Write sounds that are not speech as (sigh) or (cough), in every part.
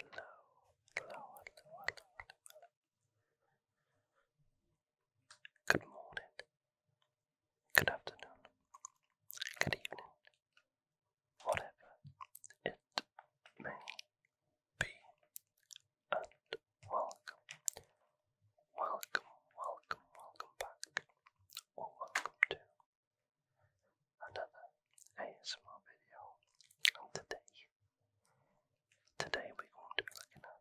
hello, Good morning, good afternoon, good evening, whatever it may be, and welcome, welcome, welcome, welcome back, or welcome to another ASMR video. today, today we're going to be looking at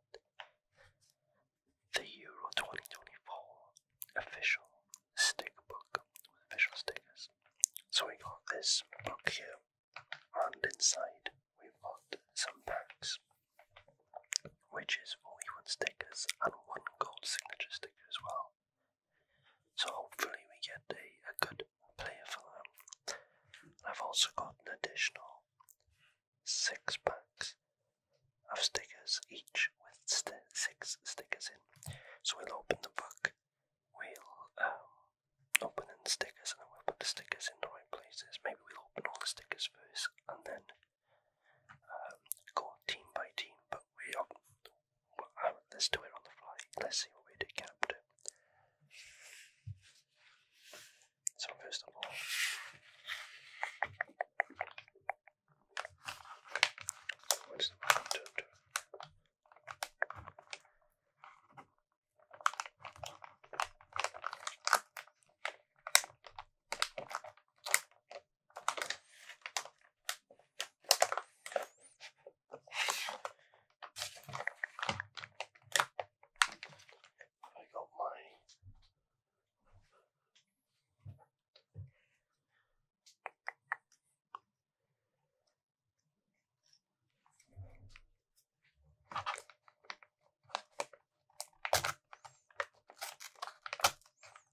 the Euro 2024 official sticker book official stickers. So we got this book here, and inside we've got some packs which is 41 stickers and one gold signature sticker as well. So hopefully we get a, a good player for them. I've also got an additional six packs of stickers each with six stickers in. So we'll open the book, we'll um, open the stickers and then we'll put the stickers in the right places. Maybe we'll open all the stickers first and then um, go team by team, but we let's do it on the fly. Let's see what we do Captain. So first of all, what's the right term I got my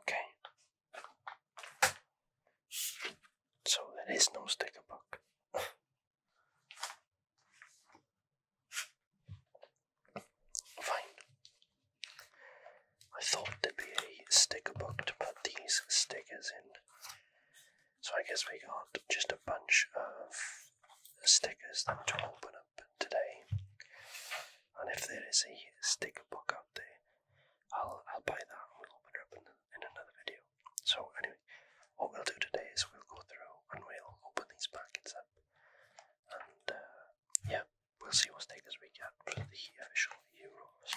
Okay. So there is no sticker book. (laughs) Fine. I thought there'd be a sticker book to put these stickers in. So I guess we got just a bunch of stickers then to open up today. And if there is a sticker book out there, I'll I'll buy that and we'll open it up in, another video. So anyway, what we'll do today is we'll go through and we'll open these packets up uh, yeah, we'll see what stake this weekend for the official Euros.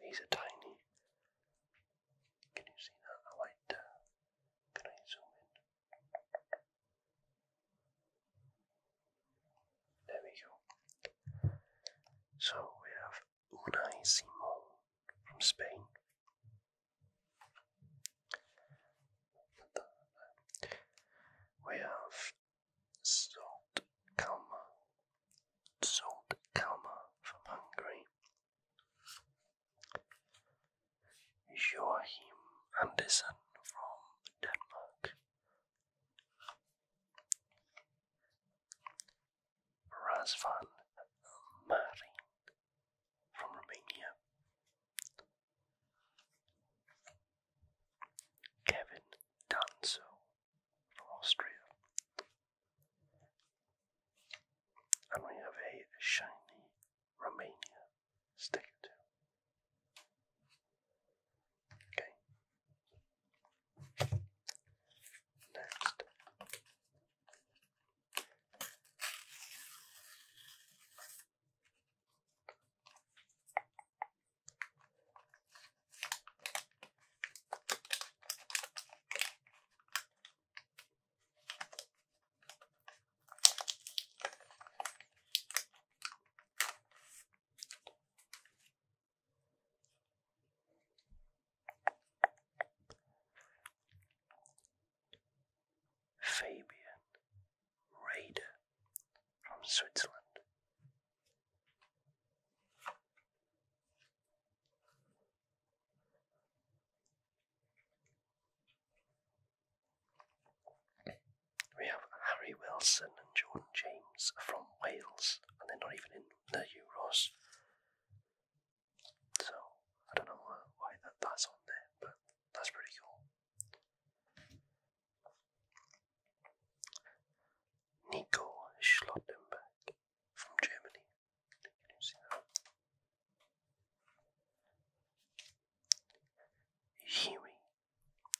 These are tiny. Can you see that? I like can I zoom in? There we go. So we have Unai Simon from Spain. We have Salt Kalma. Salt Kalma from Hungary. Joachim Andersen from Denmark. Razvan Marin from Romania. Kevin Danso from Austria. And we have a shiny Romania sticker too. Okay. Next. Fabian Raider from Switzerland. We have Harry Wilson and Jordan James from Wales, and they're not even in the Euros. So, I don't know why that's on there, but that's pretty cool. Niko Schlottenberg from Germany.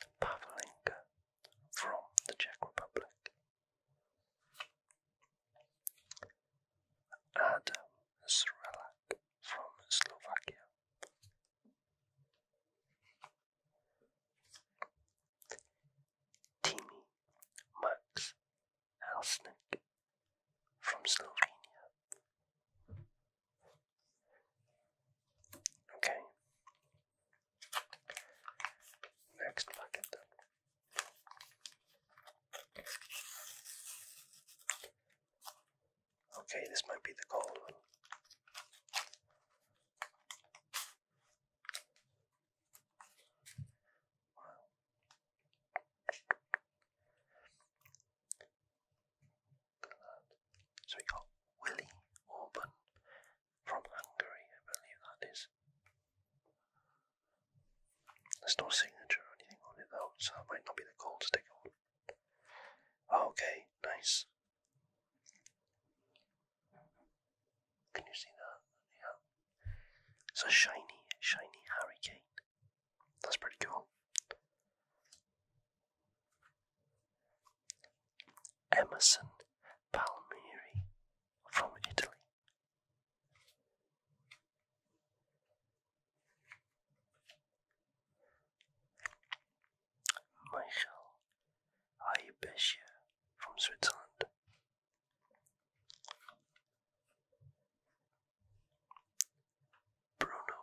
Can Pavlenka from the Czech Republic. Adam Srelak from Slovakia. Timi Max Halsnik from Slovenia. Okay. Next packet Okay, this might be the cold one. So we got Willie Orban from Hungary, I believe that is. There's no signature or anything on it though, so that might not be the cold sticker Okay, nice. Can you see that? Yeah. It's a shiny, shiny hurricane. That's pretty cool. Emerson Palmieri from Italy. Michael Ayubeshier from Switzerland. Bruno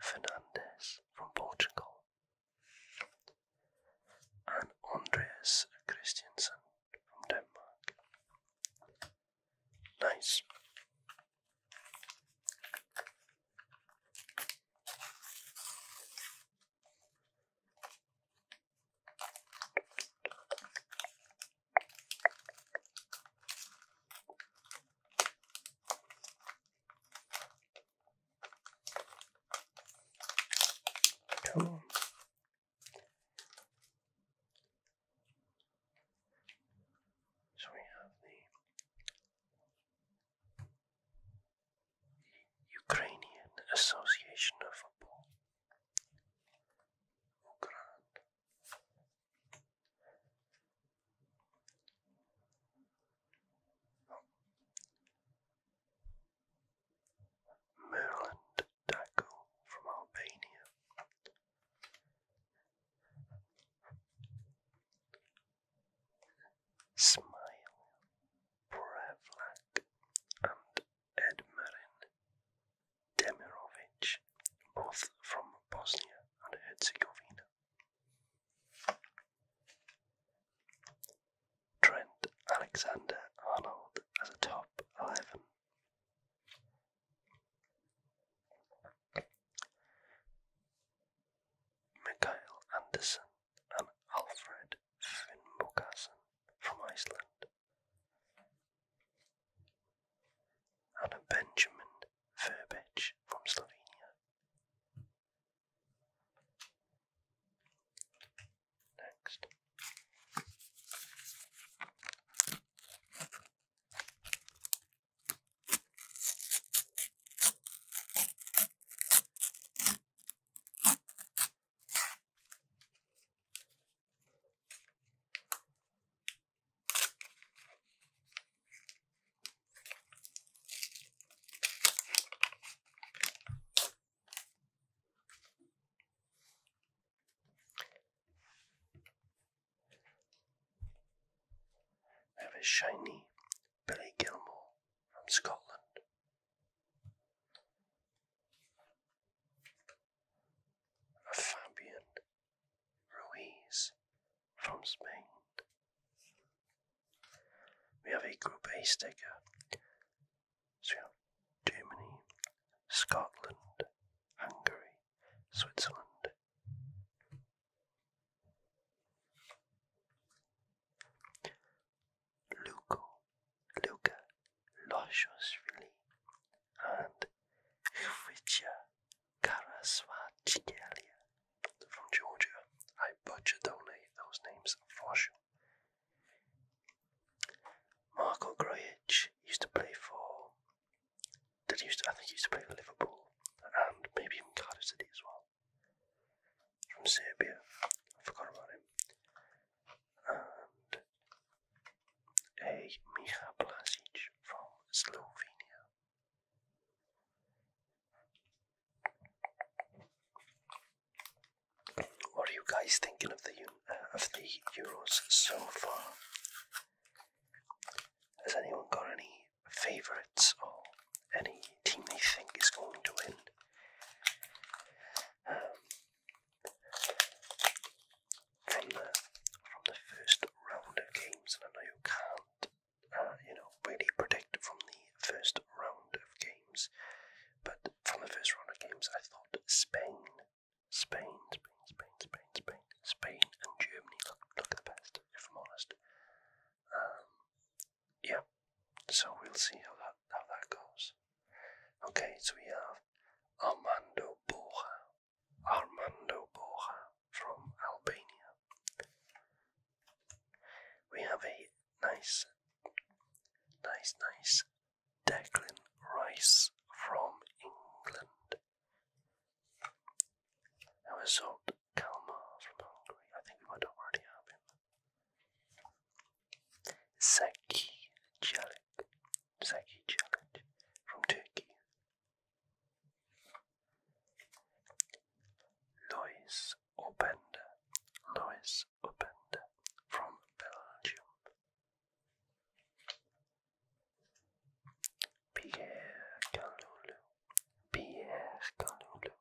Fernandes from Portugal. And Andreas Christiansen from Denmark. Nice. Cool. So we have the Ukrainian Association of Football. Ukraine. Daco from Albania. Smile, Prevlak, and Edmarin Demirovic, both from Bosnia and Herzegovina. Trent Alexander Arnold as a top 11. Mikael Andersen and Alfred Finnbogason from Iceland, and Benjamin Verbic from Slovenia. Next. I have a shiny Billy Gilmore from Scotland. Fabian Ruiz from Spain. We have a Group A sticker. So Germany, Scotland, Hungary, Switzerland, Luca, Luka, Loshosvili, and Hvitia Karasvachkelia from Georgia. I butchered those names for sure. Marco Grujic used to play for. Did he used to, I think he used to play for Liverpool and maybe even Cardiff City as well from Serbia. I forgot about him. And a Miha from Slovenia. What are you guys thinking of the uh, of the Euros so far? Has anyone got any favourites or any team they think is going to win. Um, from the from the first round of games, and I know you can't, uh, you know, really predict from the first round of games, but from the first round of games, I thought Spain, Spain, Spain, Spain, Spain, Spain, and Germany look look the best, if I'm honest. Um, yeah, so we'll see how that how that goes. Okay, so we have Armando Borja, Armando Borja from Albania. We have a nice, nice, nice Declan Rice from England. That was Kalmar from Hungary. I think we already have him. Zeki Celik. Zeki Celik from Turkey. Lois Openda. Lois Openda from Belgium. Pierre Kalulu. Pierre Kalulu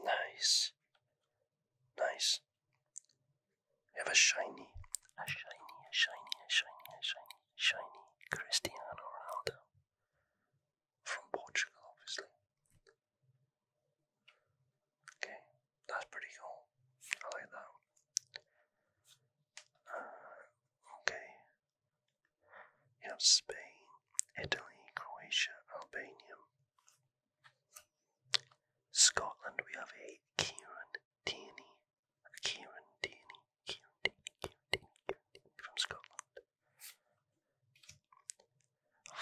Nice. Nice. We have a shiny, a shiny, a shiny, a shiny, a shiny, shiny Cristiano Ronaldo from Portugal, obviously. Okay, that's pretty cool. I like that. Uh, okay, you have Spain, Italy, Croatia, Albania. Scotland, we have a Kieran Tierney. A Kieran Tierney, Kieran Tierney, Kieran Tierney, Kieran from Scotland.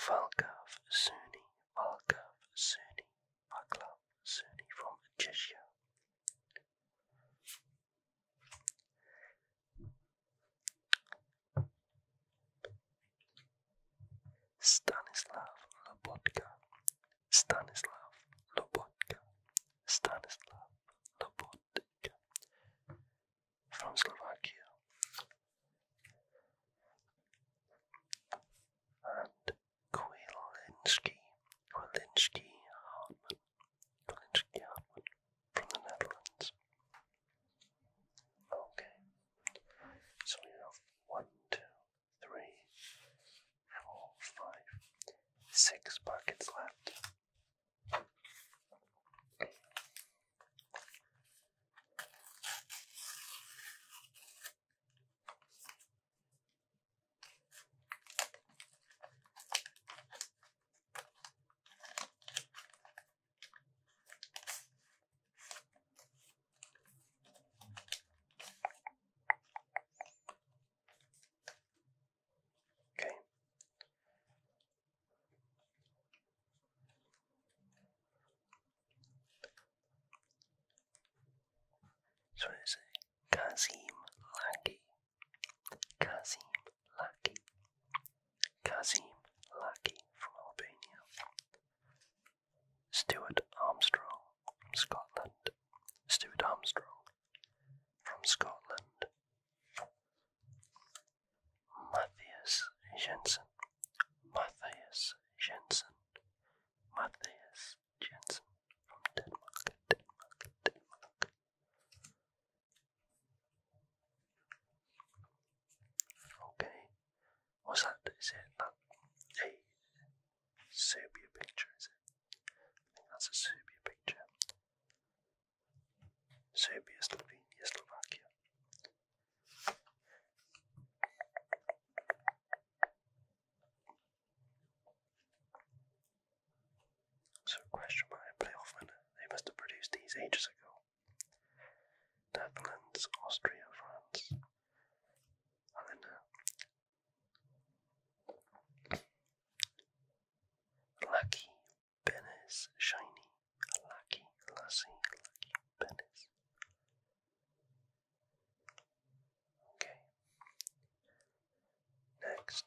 Valkav Suni, Valkav Suni, Vaklav Suni from Czechia. Stanislav Lobotka, Stanislav Lobotka, Stanislav Lobotka from Slovakia and Kwilinski, Kwilinski Hartman Glitch from the Netherlands. Okay, so we have one, two, three, four, five, six buckets left. Okay. So it's Kazim Laki Kazim Laki. Kazim Laki from Albania. Stuart Armstrong from Scotland. Stuart Armstrong from Scotland. Matthias Jensen. Matthias Jensen. Matthias Jensen from Denmark. Denmark. Okay. What's that? Is it that a Serbia picture? Is it? I think that's a Serbia picture. Serbia, Slovenia, Slovakia. So question my playoff winner, they must have produced these ages ago. Netherlands, Austria, France. And then uh, Lucky Venice, Shiny. Lucky Lassie. Lucky Benes. Okay. Next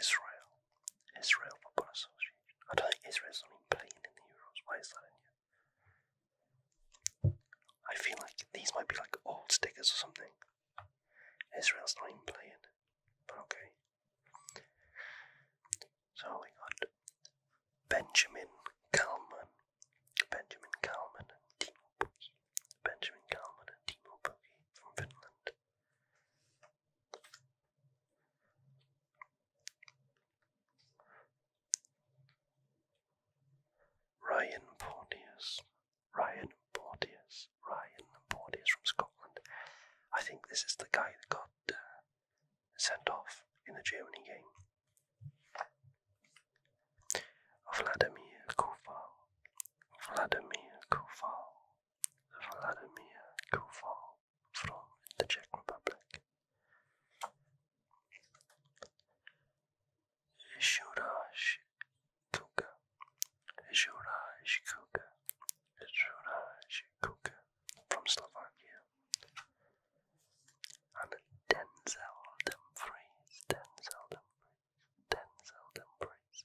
Israel. Israel Football Association. I don't think Israel's not even playing in the Euros. Why is that in here? I feel like these might be like old stickers or something. Israel's not even playing. But okay. So we got Benjamin Kalman. Benjamin Kalman and Benjamin Kalman and Timo Pukki from Finland. Ryan Porteous, Ryan Porteous, Ryan Porteous from Scotland. I think this is the guy that got uh, sent off in the Germany game. Vladimir Koval, Vladimir Koval, Vladimir Koval from the Czech Republic. Juraj Kuka, Juraj Kuka, Juraj Kuka from Slovakia. And Denzel Dumfries, Denzel Dumfries, Denzel Dumfries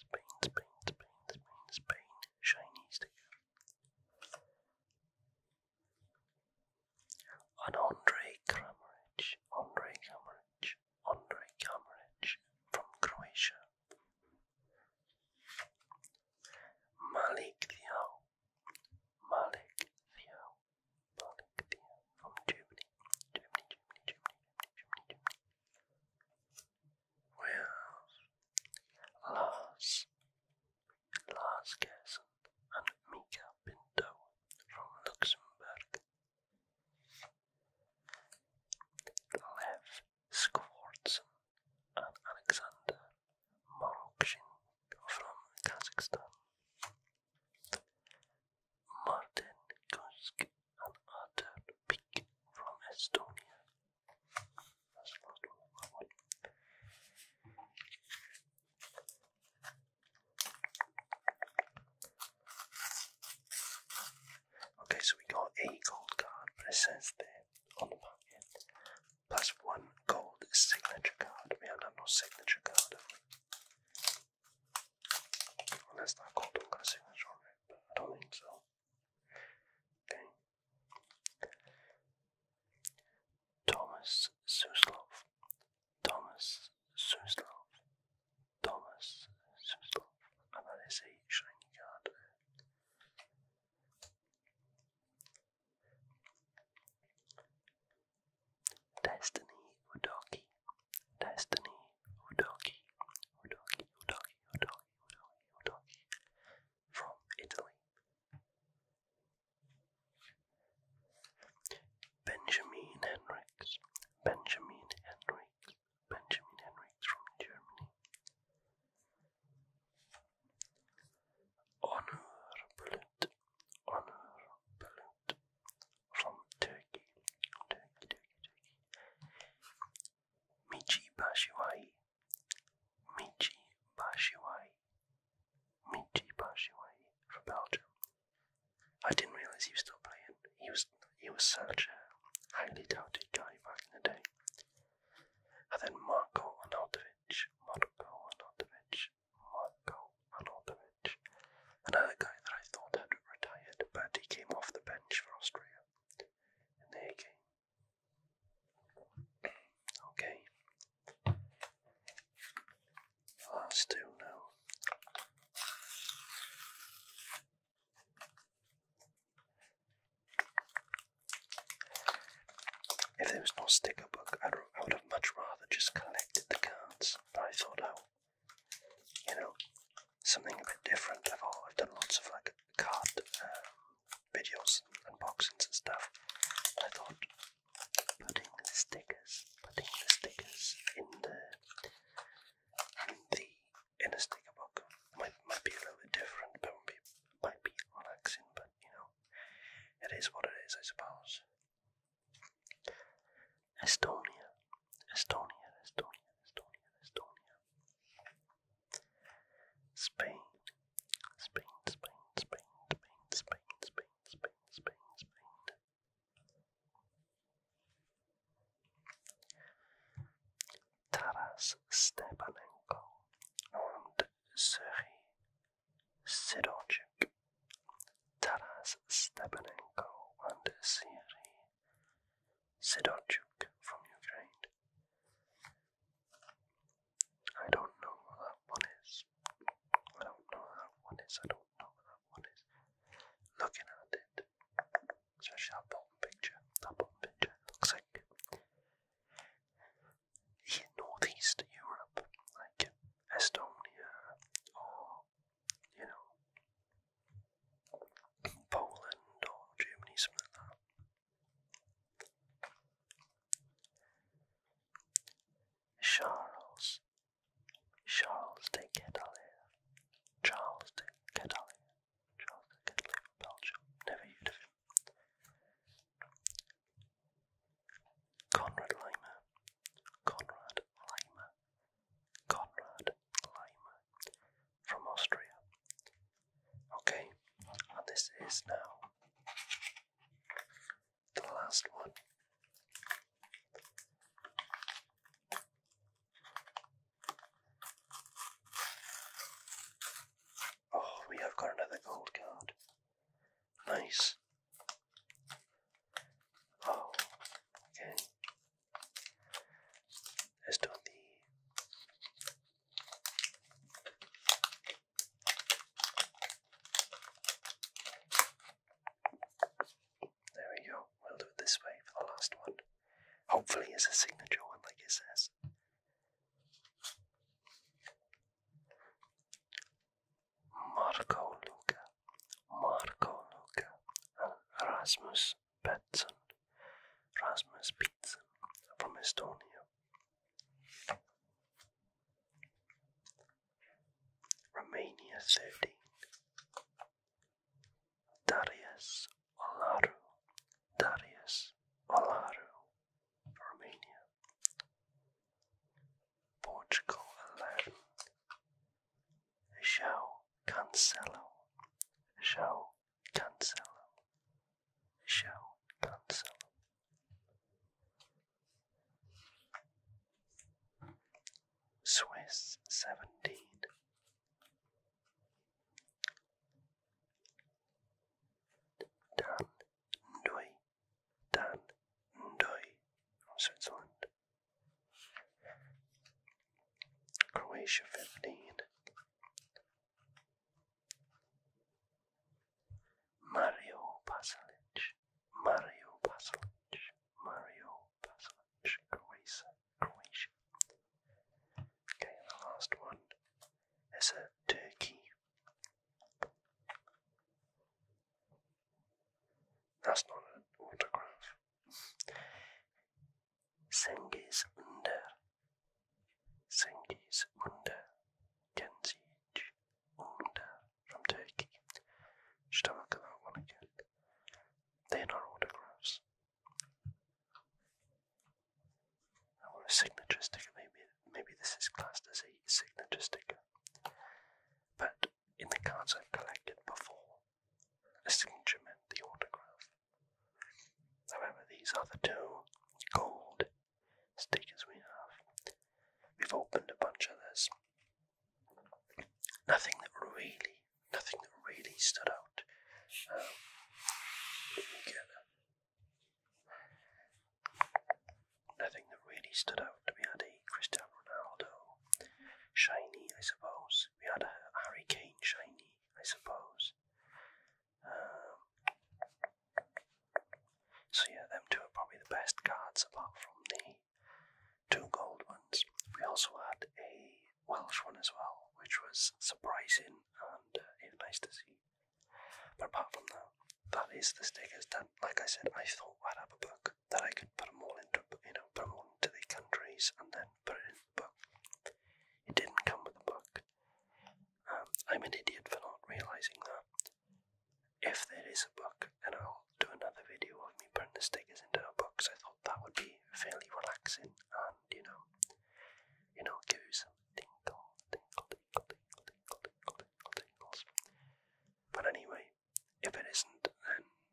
Spain, Spain, Spain, Spain, Spain, shiny sticker. Andre Kramaric, Andre Kramaric, Andre Kramaric from Croatia. Malik Thiaw, Malik Thiaw, Malik Thiaw from Germany, with Lars, Lars Gerson and Mika Pinto from Luxembourg. Lev Skvortson and Alexander Morokshin from Kazakhstan. Martin Kusk and Arthur Peak from Estonia. Okay, so we got a gold card, but it says there on the back end, plus one gold signature card. We have no signature card, that's not called a signature, right? But I don't think so. Okay. Thomas Suslov. Thomas Suslov. Thomas Suslov. And that is a shiny card. Destiny Udoki. Destiny, Udoki, Udoki, Udoki, Udoki, Udoki, Udoki, from Italy. Benjamin Henriks, Benjamin Henriks, Benjamin Henriks from Germany. Honor Bullet, Honor Bullet, from Turkey. Turkey, Turkey, Turkey. Michi Bashiwai. Michi Bashiwai. Michi Bashiwai from Belgium. I didn't realise he was still playing. He was he was such a highly touted guy back in the day. And then Marko Arnautovic, Marko Arnautovic, Marko Arnautovic. Another guy that I thought had retired, but he came off the for Austria Okay. Well, two now. If there was no sticker book, I'd, have much rather just collected the cards that I thought out you know, something a bit different. I've, all, I've done lots of like card um, videos and unboxings and stuff. I thought putting the stickers, putting the stickers in the in the in a sticker book might might be a little bit different, but might be, might be relaxing. But you know, it is what it is, I suppose. Estonia. Estonia, Estonia, Estonia, Estonia. Spain, Spain, Spain, Spain, Spain, Spain, Spain, Spain, Spain, Spain. Taras Stepanenko and Sergei Sidorchuk. Taras Stepanenko and Sergei Sidorchuk from Ukraine. I don't know what that one is. I don't know what that one is. I don't know what that one is. Looking at it, especially that picture, that picture looks like in Northeast Europe, like Estonia or you know, Poland or Germany, something like that. Charles, Charles de Gedalier, Charles de Gedalier, Charles de Gedalier from Belgium, never heard of him. Conrad Limer, Conrad Limer, Conrad lime from Austria. Okay, and this is now the last one. Oh, we have got another gold card. Nice. Oh, okay esto a There we go. We'll do it this way for the last one. Hopefully, it's a signature one, like it says. Marco Luca, Marco Luca, Erasmus Petson, Rasmus Pitsen from Estonia. Romania 13. Darius Olaru, Darius Olaru, Romania. Portugal 11. Show Cancelo, Show Cancelo, João Cancelo. Swiss seventeen. Dan Ndoy, Dan Ndoy from Switzerland. Croatia 15. Mario Pasalic, Mario Pasalic, Mario Pasalic, Croatia, Croatia. Okay, and the last one is a Turkey. That's not an autograph. Sengiz Under. Sengiz Under. Genzic Under from Turkey. Should have a look at that They are not autographs. I want a signature sticker. Maybe, maybe this is classed as a signature sticker. But in the cards I've collected before, the signature meant the autograph. However, these are the two gold stickers we have. We've opened a bunch of this. Nothing that really, nothing that really stood out. Um, Nothing that really stood out. We had a Cristiano Ronaldo shiny, I suppose we had a Hurricane shiny, I suppose. Um, so yeah, them two are probably the best cards apart from the two gold ones. We also had a Welsh one as well, which was surprising and uh, it's nice to see. But apart from that, that is the stickers done. Like I said, I thought I'd have a book that I could put them all into, you know, put them all into the countries and then and put it in the book. It didn't come with a book. Um, I'm an idiot for not realizing that. If there is a book, then I'll do another video of me putting the stickers into a box. I thought that would be fairly relaxing and, you know, you know, give you some tingle, tingle, tingle, tingle, tingle, tingle, tingle, tingles. But anyway, if it isn't, then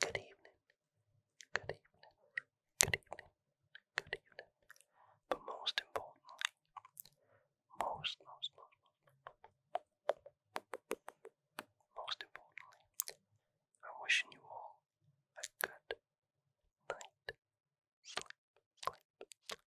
Good evening. Good evening. Good evening. Good evening. But most importantly, most, most, most, most, most importantly, I'm wishing you all a good night. Sleep, sleep, sleep, sleep.